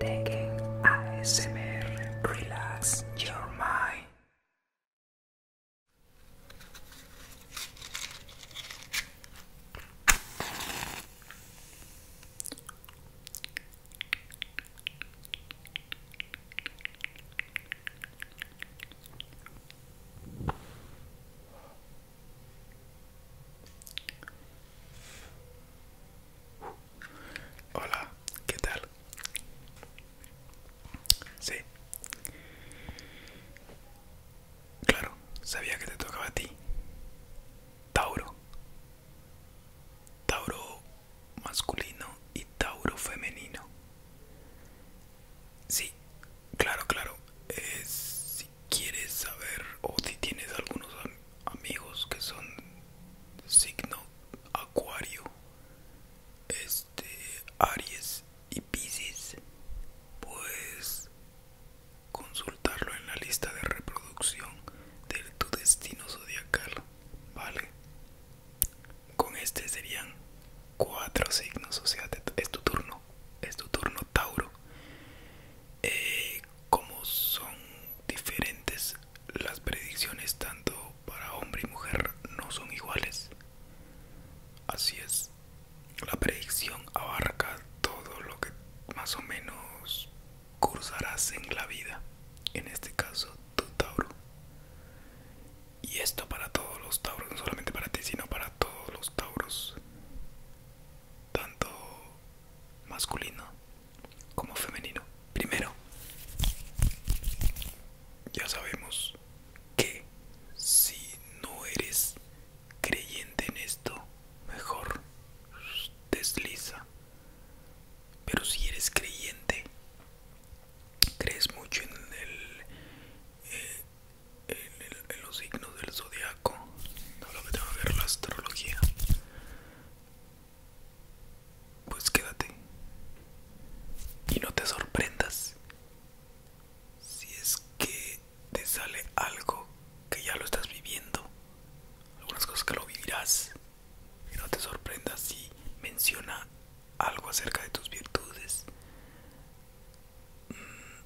Taking a ASMR, relax your mind. Hola, ¿qué tal? Sí. Claro, sabía que te tocaba a ti. Tauro. Tauro masculino y Tauro femenino. Sí, claro, claro. sí, quieres saber o si tienes algunos amigos que son signo acuario este aries y piscis pues consultarlo en la lista de reproducción de tu destino zodiacal vale con este serían cuatro signos o sea es tu turno es tu turno Tauro eh, como son diferentes las predicciones tanto para hombre y mujer no son iguales así es la predicción abarca todo lo que más o menos cursarás en la vida en este caso tu Tauro y esto para todos los Tauros, no solamente para ti, sino para todos los Tauros tanto masculino como femenino. Primero, ya sabemos que si no eres creyente en esto, mejor desliza. Pero si eres creyente, crees mucho en el, eh, en, los signos del zodiaco, no lo que tengo ver la astrología, pues quédate y no te sorprendas si es que te sale algo que ya lo estás viviendo, algunas cosas que lo vivirás, y no te sorprendas si menciona algo acerca de tus virtudes,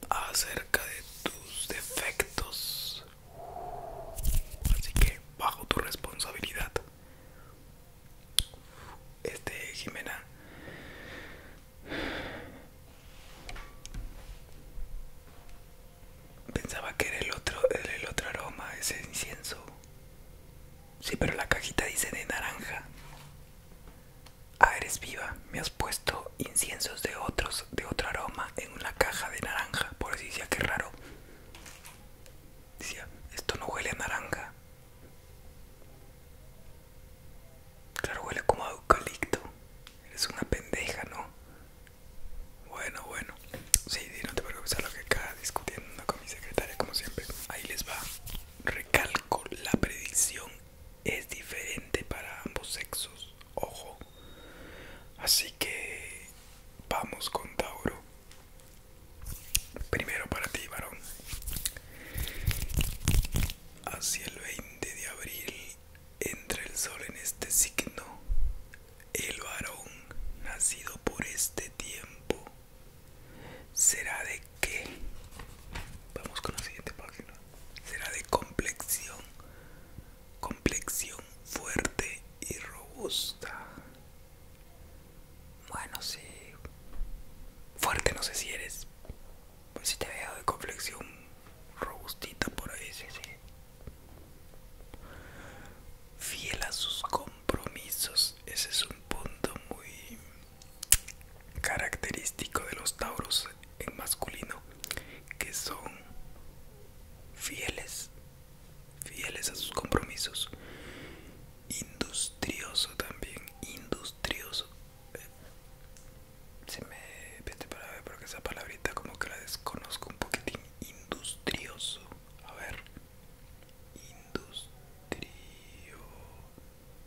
acerca de tus defectos. Así que bajo tu responsabilidad. Este Jimena pensaba que era el otro, el otro aroma, ese incienso. Sí, pero la cajita dice de naranja. Ah, eres viva. Me has puesto inciensos de otros, de otro aroma, en una caja de naranja. Por eso decía que raro. Decía, esto no huele a naranja. Claro, huele como a eucalipto. Eres una pendeja, ¿no? Bueno, bueno. Sí, no te preocupes a lo que acá discutiendo con mi secretaria, como siempre. Ahí les va. Recalco, la predicción es diferente para ambos sexos, ojo. Así que vamos con Tauro. Primero para ti, varón. Hacia el 20 de abril entra el sol en este signo. El varón nacido por este tiempo será de qué? Vamos con la siguiente página será de complexión, complexión fuerte y robusta. Bueno, sí. Fuerte no sé si eres. si te veo de complexión robustita por ahí, sí, sí. Fiel a sus compromisos, ese es un punto muy característico de los tauros en masculino que son fieles fieles a sus compromisos industrioso también industrioso se me vete para ver porque esa palabrita como que la desconozco un poquitín industrioso a ver industrioso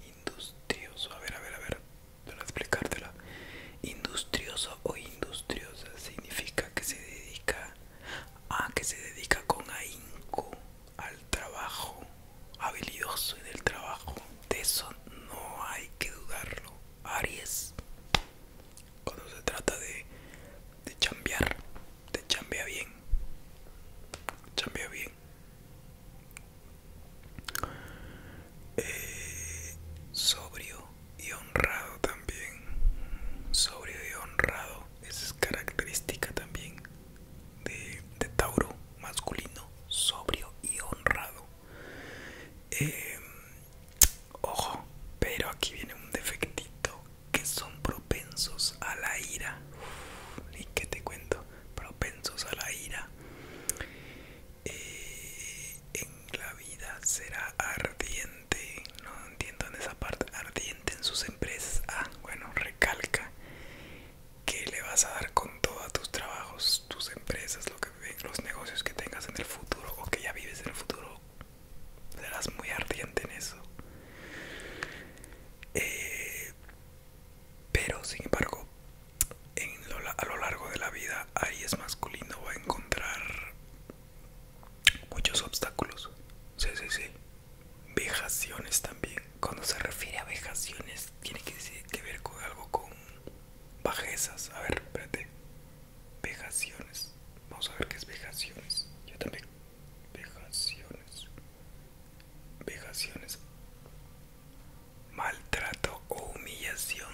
industrioso, a ver, a ver, a ver, para explicártela. Industrioso o industriosa significa que se dedica a que se dedica con ahínco al trabajo, habilidoso en el trabajo. De eso no hay que dudarlo. Aries, cuando se trata de, de chambear, te chambea bien. Chambea bien. Eh, sobrio y honrado también sobrio y honrado esa es característica también de, Tauro masculino sobrio y honrado em, ojo pero aquí viene un defectito que son propensos a la ira y que te cuento propensos a la ira. Eh, en la vida será ardiente, no entiendo en esa parte, ardiente en sus empresas. Ah, bueno, recalca que le vas a dar con todos tus trabajos, tus empresas, lo que, los negocios que tengas en el futuro o que ya vives en el futuro. Serás muy ardiente en eso. Eh, pero sin embargo, a lo largo de la vida, Aries masculino va a encontrar muchos obstáculos. Sí, sí, sí. Vejaciones también. Cuando se refiere a vejaciones, tiene que, que ver con algo con bajezas. A ver, espérate. Vejaciones. Vamos a ver qué es vejaciones. Yo también. Vejaciones. Vejaciones maltrato o humillación.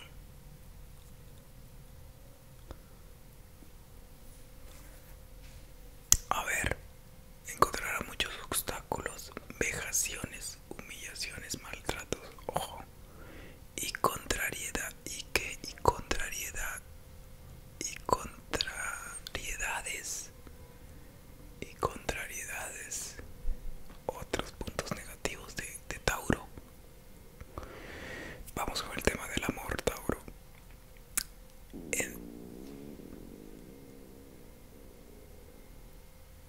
A ver, encontrará muchos obstáculos, vejaciones, humillaciones, maltratos, ojo, y contrariedad, y qué? y contrariedad, y contrariedades y contrariedades, otros puntos negativos de, Tauro. Vamos con el tema del amor, Tauro.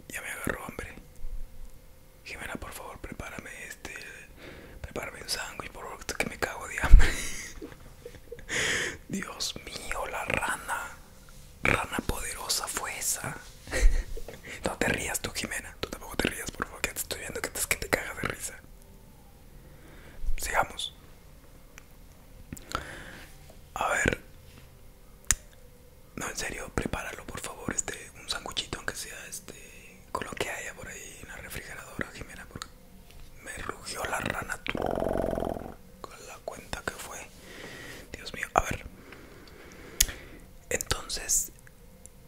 Ya me agarró hambre. Jimena, por favor, prepárame este. Prepárame un sándwich, por favor, que me cago de hambre. Dios mío, la rana rana poderosa fue esa? no te rías tú, Jimena. Tú tampoco te rías, por favor, que te estoy viendo que te, que cagas de risa. Sigamos. A ver. No, en serio, prepáralo, por favor, este, un sanguchito, aunque sea este, con lo que haya por ahí en la refrigeradora, Jimena, porque me rugió la rana. Con la cuenta que fue Dios mío, a ver Entonces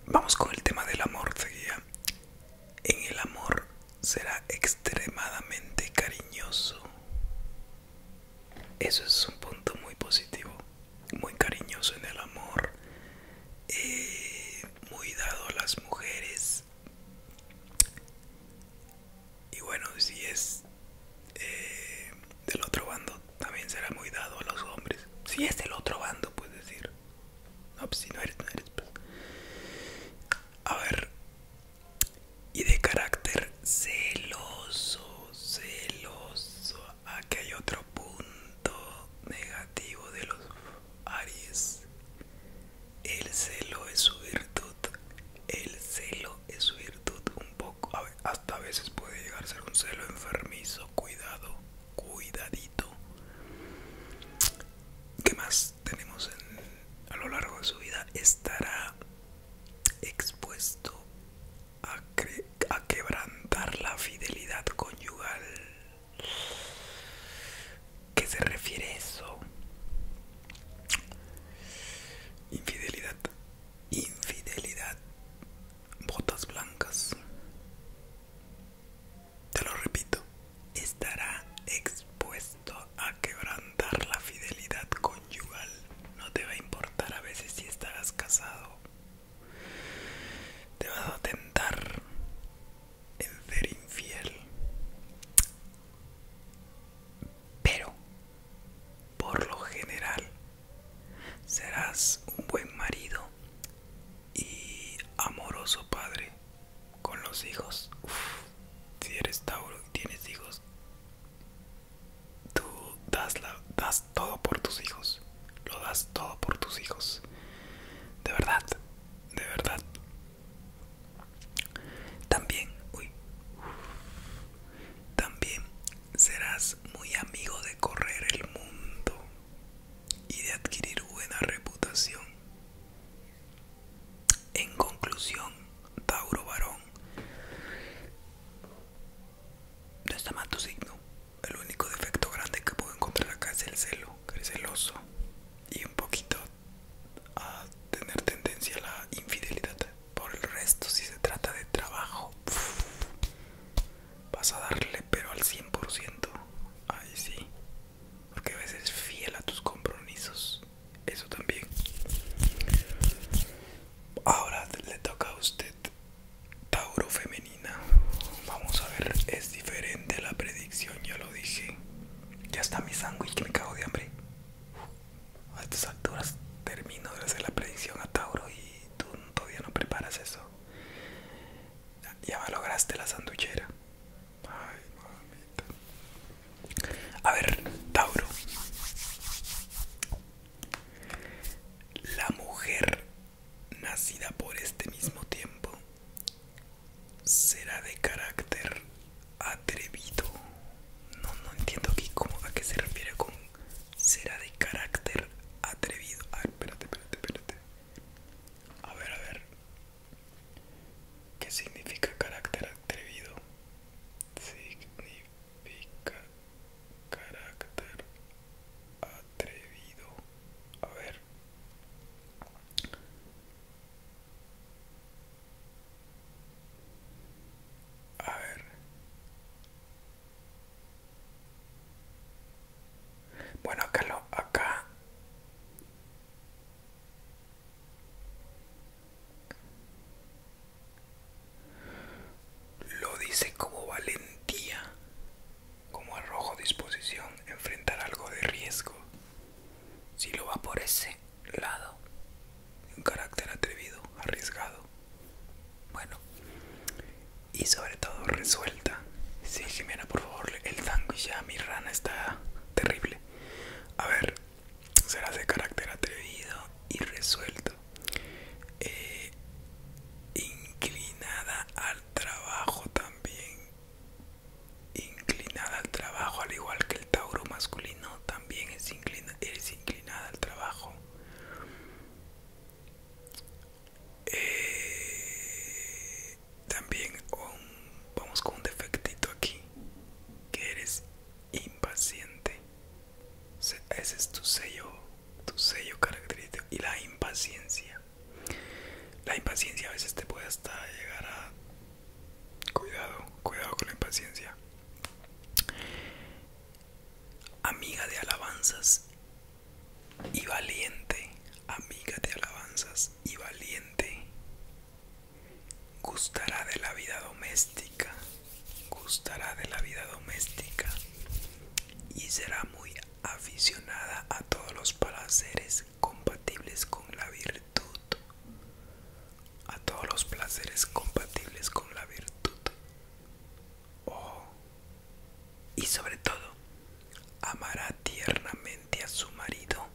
Vamos con el tema del amor, seguía En el amor será extremadamente cariñoso Eso es un punto muy positivo Muy cariñoso en el amor eh, Muy dado a las mujeres y bueno, si es eh, del otro bando, también será muy dado a los hombres. Si es del otro bando, puedes decir. No, pues si no eres, no eres. Pues. A ver. Y de carácter celoso, celoso. Aquí hay otro punto negativo de los Aries. El celo es su virtud. El celo es su virtud un poco. hasta a veces puede llegar a ser un celo enfermizo. Cuidado, cuidadito. ¿Qué más tenemos a lo largo de su vida? Estará expuesto a quebrantar la fidelidad conyugal qué se refiere eso? Infidelidad, infidelidad, botas blancas. Te lo repito, estará expuesto a quebrantar la fidelidad conyugal. No te va a importar a veces si estarás casado. Te vas a atentar en ser infiel. Pero, por lo general, serás un buen marido y amoroso padre con los hijos. si eres Tauro y tienes hijos, tú das, das todo por tus hijos. Lo das todo por tus hijos. De verdad, de verdad. También, uy, también serás muy amigo de correr el mundo y de adquirir buena reputación. En conclusión, Tauro varón, no está mal tu signo. El único defecto grande que puedo encontrar acá es el celo, que eres celoso y un poquito a tener tendencia a la infidelidad. Por el resto, si se trata de trabajo, vas a darle pero al 100%. Ahí sí. Porque a veces fiel a tus compromisos. Eso también. Ahora le toca a usted. Tauro femenina. Vamos a ver. Es diferente la predicción, ya lo dije. Ya está mi sándwich que me cago de hambre. A estas alturas termino de hacer la predicción a Tauro y tú todavía no preparas eso. Ya lograste la sanduchera. Ay, mamita. A ver, Tauro. La mujer nacida por este mismo tiempo será de carácter atrevido. No, no entiendo aquí cómo, a qué se refiere con será de carácter atrevido. Ah, espérate, espérate, espérate. A ver, a ver. ¿Qué significa carácter atrevido? Significa carácter atrevido. A ver ver. Bueno, acá lo, acá. Lo dice como valentía, como arrojo disposición, enfrentar algo de riesgo. Si lo va por ese lado, un carácter atrevido, arriesgado, bueno, y sobre todo resuelta. Sí, Jimena, por favor, el y ya mi rana está terrible. A ver, será de carácter atrevido y resuelto. Eh, inclinada al trabajo también inclinada al trabajo, al igual que el Tauro masculino, también es, inclinada al trabajo. Eh, también vamos con un defectito aquí, que eres impaciente. Ese es tu sello, tu sello característico y la impaciencia. La impaciencia a veces te puede hasta llegar a... Cuidado, cuidado con la impaciencia. Amiga de alabanzas y valiente. Amiga de alabanzas y valiente. Gustará de la vida doméstica. Gustará de la vida doméstica. Y será muy aficionada a todos los placeres compatibles con la virtud. A todos los placeres compatibles con la virtud. Oh, y sobre todo, amará tiernamente a su marido.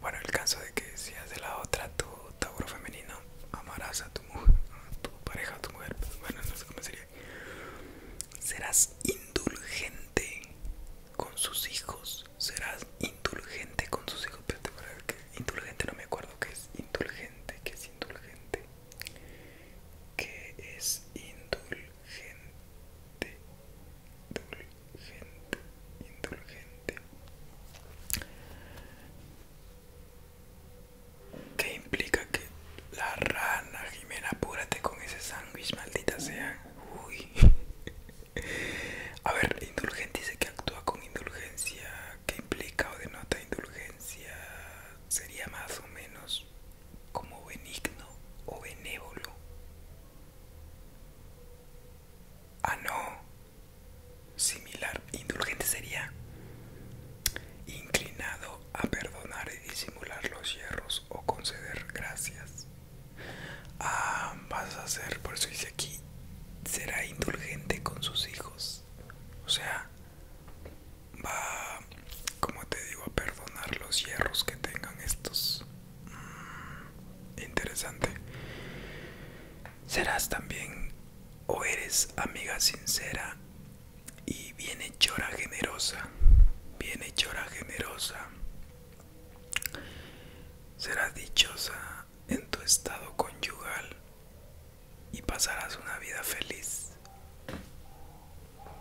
Bueno, el caso de que seas de la otra tu Tauro femenino, amarás a tu mujer, a tu pareja, a tu mujer, bueno, no sé cómo sería. Serás indulgente con sus hijos. Serás indulgente con sus hijos. Pero que indulgente no me acuerdo qué es indulgente, qué es indulgente. ¿Qué es indulgente? Indulgente, indulgente. ¿Qué implica que la rana, Jimena, apúrate con ese sándwich, maldita sea. Uy. A ver, indulgente dice que actúa con indulgencia. ¿Qué implica o denota indulgencia? Sería más o menos como benigno o benévolo. Ah, no. Similar. Indulgente sería inclinado a perdonar y disimular los hierros o conceder gracias. Ah, vas a ser, por eso dice aquí, será indulgente con sus hijos. O sea, va, como te digo, a perdonar los hierros que tengan estos. Mm, interesante. Serás también o eres amiga sincera y bienhechora generosa, chora generosa, serás dichosa en tu estado conyugal y pasarás una vida feliz.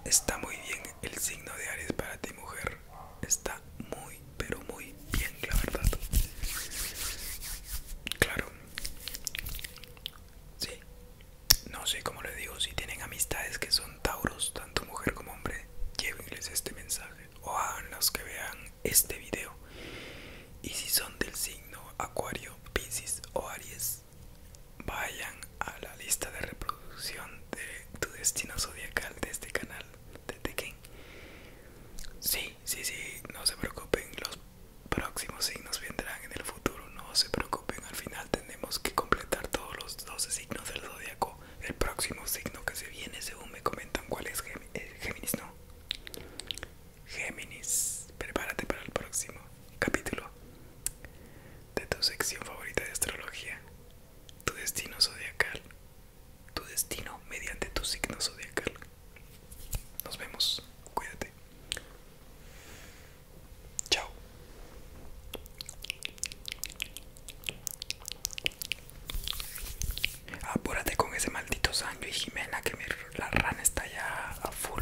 Está muy bien el signo de Aries para ti mujer, está muy pero muy bien la verdad. Claro, sí, no sé cómo le digo, si tienen amistades que son tauros, tanto mujer como hombre, llévenles este mensaje o hagan los que vean este video. Y si son del signo Acuario, Piscis o Aries, vayan a la lista de reproducción de tu destino zodiacal de este canal de Tekken. Sí, sí, sí, no se preocupen, los próximos signos vendrán en el futuro, no se preocupen al final tenemos que completar todos los 12 signos del zodiaco. El próximo signo que se viene, según me comentan, ¿cuál es? Eh, Géminis, ¿no? Géminis, prepárate para el próximo capítulo de tu sección favorita de astrología, tu destino zodiacal, tu destino mediante tu signo zodiacal. Nos vemos, cuídate. Chao. Apúrate con ese maldito sangre y Jimena que mi, la rana está ya a full.